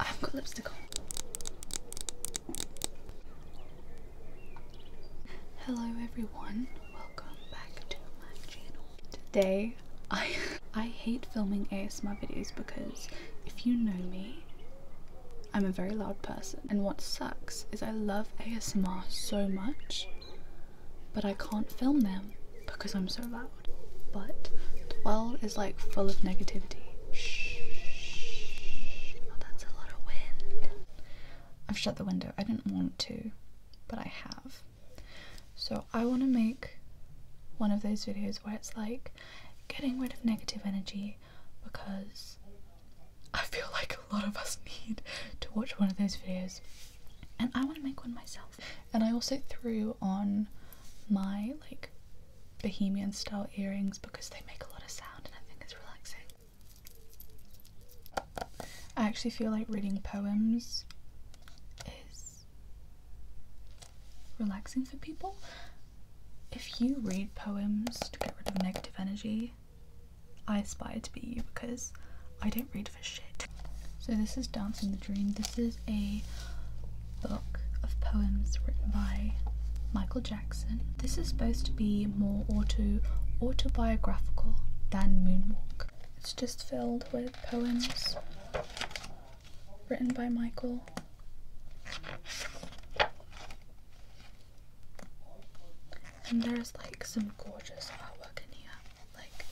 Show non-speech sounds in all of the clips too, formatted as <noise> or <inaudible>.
I have got lipstick on. Hello everyone, welcome back to my channel. Today I <laughs> I hate filming ASMR videos because if you know me, I'm a very loud person and what sucks is I love ASMR so much but I can't film them because I'm so loud loud, but 12 is like full of negativity. Shh. Oh, that's a lot of wind. I've shut the window. I didn't want to, but I have. So I want to make one of those videos where it's like getting rid of negative energy because I feel like a lot of us need to watch one of those videos and I want to make one myself. And I also threw on my like bohemian style earrings because they make a lot of sound and I think it's relaxing. I actually feel like reading poems is relaxing for people. If you read poems to get rid of negative energy, I aspire to be you because I don't read for shit. So this is Dancing the Dream. This is a book of poems written by Michael Jackson. This is supposed to be more autobiographical than Moonwalk. It's just filled with poems written by Michael. And there's like some gorgeous artwork in here like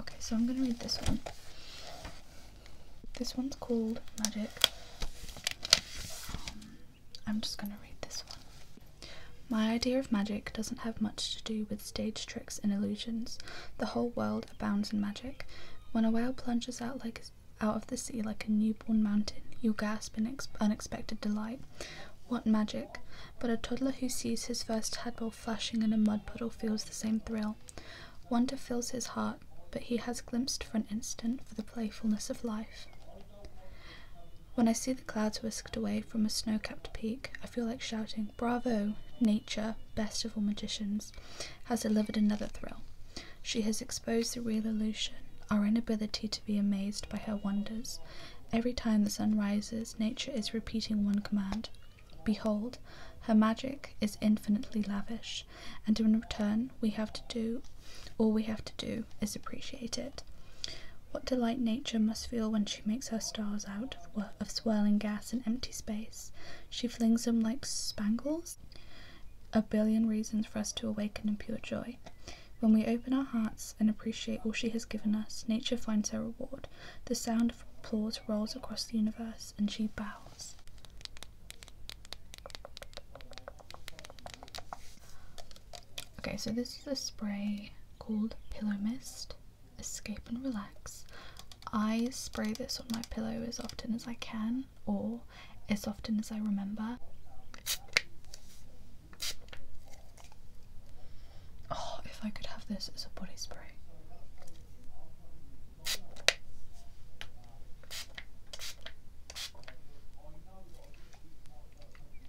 okay so i'm gonna read this one this one's called magic um, i'm just gonna read this one my idea of magic doesn't have much to do with stage tricks and illusions the whole world abounds in magic when a whale plunges out like out of the sea like a newborn mountain you gasp in unexpected delight what magic but a toddler who sees his first tadpole flashing in a mud puddle feels the same thrill. Wonder fills his heart, but he has glimpsed for an instant for the playfulness of life. When I see the clouds whisked away from a snow capped peak, I feel like shouting, Bravo! Nature, best of all magicians, has delivered another thrill. She has exposed the real illusion, our inability to be amazed by her wonders, Every time the sun rises, nature is repeating one command Behold, her magic is infinitely lavish, and in return, we have to do all we have to do is appreciate it. What delight nature must feel when she makes her stars out of, swirling gas and empty space. She flings them like spangles. A billion reasons for us to awaken in pure joy. When we open our hearts and appreciate all she has given us, nature finds her reward. The sound of applause rolls across the universe, and she bows. Okay, so this is a spray called Pillow Mist Escape and Relax. I spray this on my pillow as often as I can or as often as I remember. Oh, if I could have this as a body spray.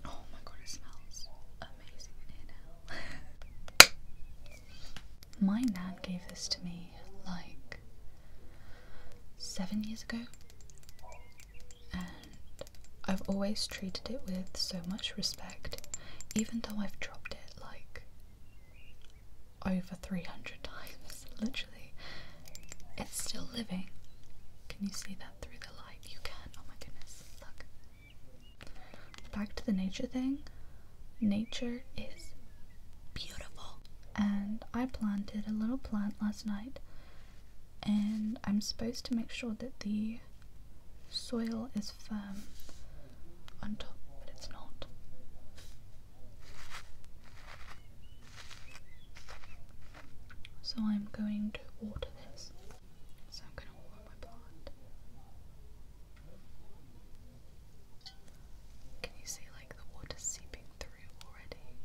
Oh my god, it smells amazing in here now. <laughs> my nan gave this to me like seven years ago. I've always treated it with so much respect, even though I've dropped it like over 300 <laughs> times, literally. It's still living. Can you see that through the light? You can. Oh my goodness, look. Back to the nature thing. Nature is beautiful. And I planted a little plant last night and I'm supposed to make sure that the soil is firm on top, but it's not. So I'm going to water this. So I'm going to water my plant. Can you see like the water seeping through already?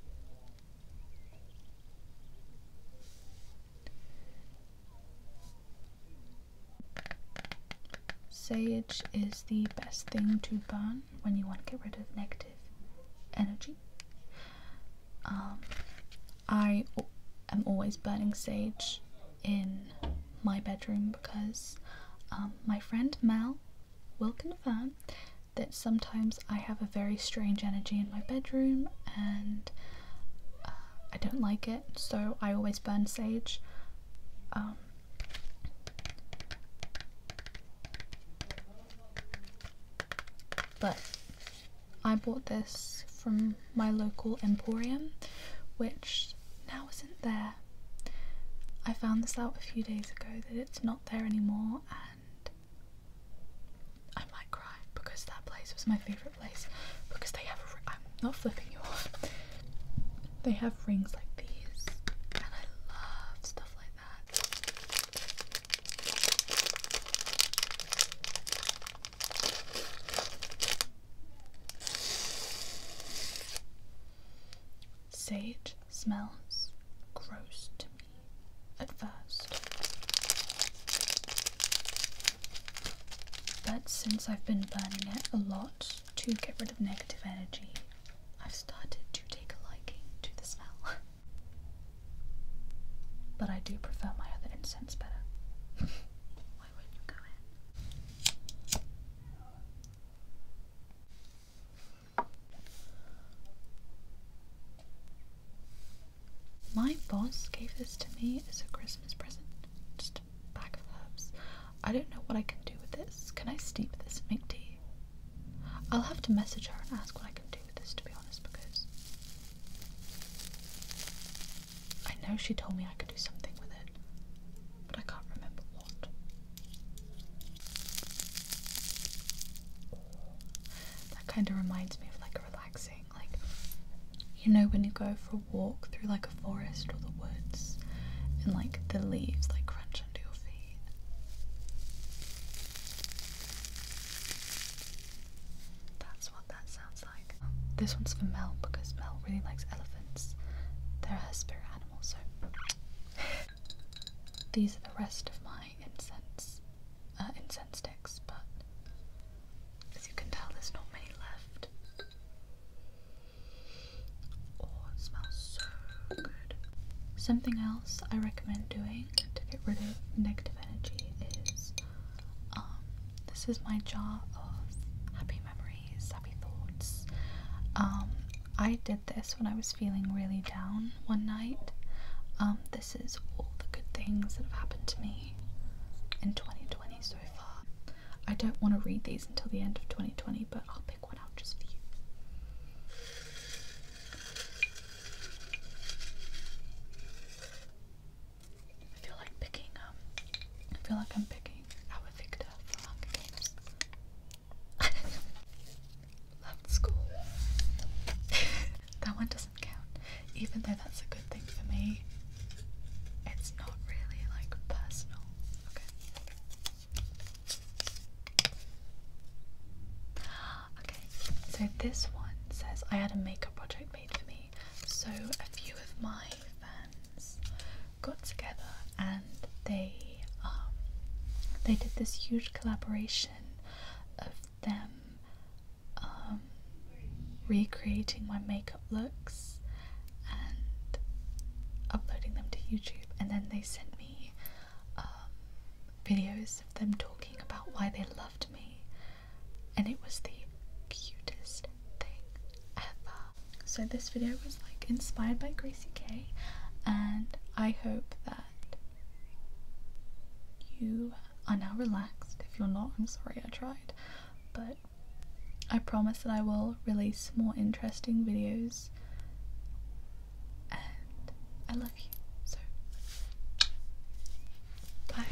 Sage is the best thing to burn when you want to get rid of negative energy. Um, I am always burning sage in my bedroom because um, my friend Mel will confirm that sometimes I have a very strange energy in my bedroom and uh, I don't like it, so I always burn sage. Um, but I bought this from my local emporium, which now isn't there. I found this out a few days ago that it's not there anymore and I might cry because that place was my favourite place because they have a, I'm not flipping you off they have rings like these and I love stuff like that Sage smells gross to me at first. But since I've been burning it a lot to get rid of negative energy, I've started to take a liking to the smell. <laughs> but I do prefer my other incense better. <laughs> Why would you go in? My boss gave this to me as a Christmas present. Just a bag of herbs. I don't know what I can do with this. Can I steep this and make tea? I'll have to message her and ask what I can do with this to be honest because I know she told me I could do something with it but I can't remember what. That kind of reminds me of like a relaxing, like you know when you go for a walk through like a forest or the woods and like the leaves like crunch under your feet. That's what that sounds like. This one's for Mel because Mel really likes elephants. They're her spirit animal, these are the rest of my incense uh, incense sticks, but as you can tell, there's not many left. Oh, it smells so good. Something else I recommend doing to get rid of negative energy is um, this is my jar of happy memories happy thoughts. Um, I did this when I was feeling really down one night. Um, this is all the good things that have happened to me in 2020 so far. I don't want to read these until the end of 2020, but I'll pick one out just for you. I feel like picking um I feel like I'm picking our Victor for Hunger Games. <laughs> Loved school. <laughs> that one doesn't count. Even though that's a good thing for me, it's not really like personal. Okay. <gasps> Okay, so this one says I had a makeup project made for me so a few of my fans got together and they um, they did this huge collaboration of them um, recreating my makeup looks and uploading them to YouTube, and then they sent me um, videos of them talking about why they loved me and it was the cutest thing ever. So this video was like inspired by Gracie K and I hope that you are now relaxed. If you're not, I'm sorry I tried. But I promise that I will release more interesting videos and I love you. So bye.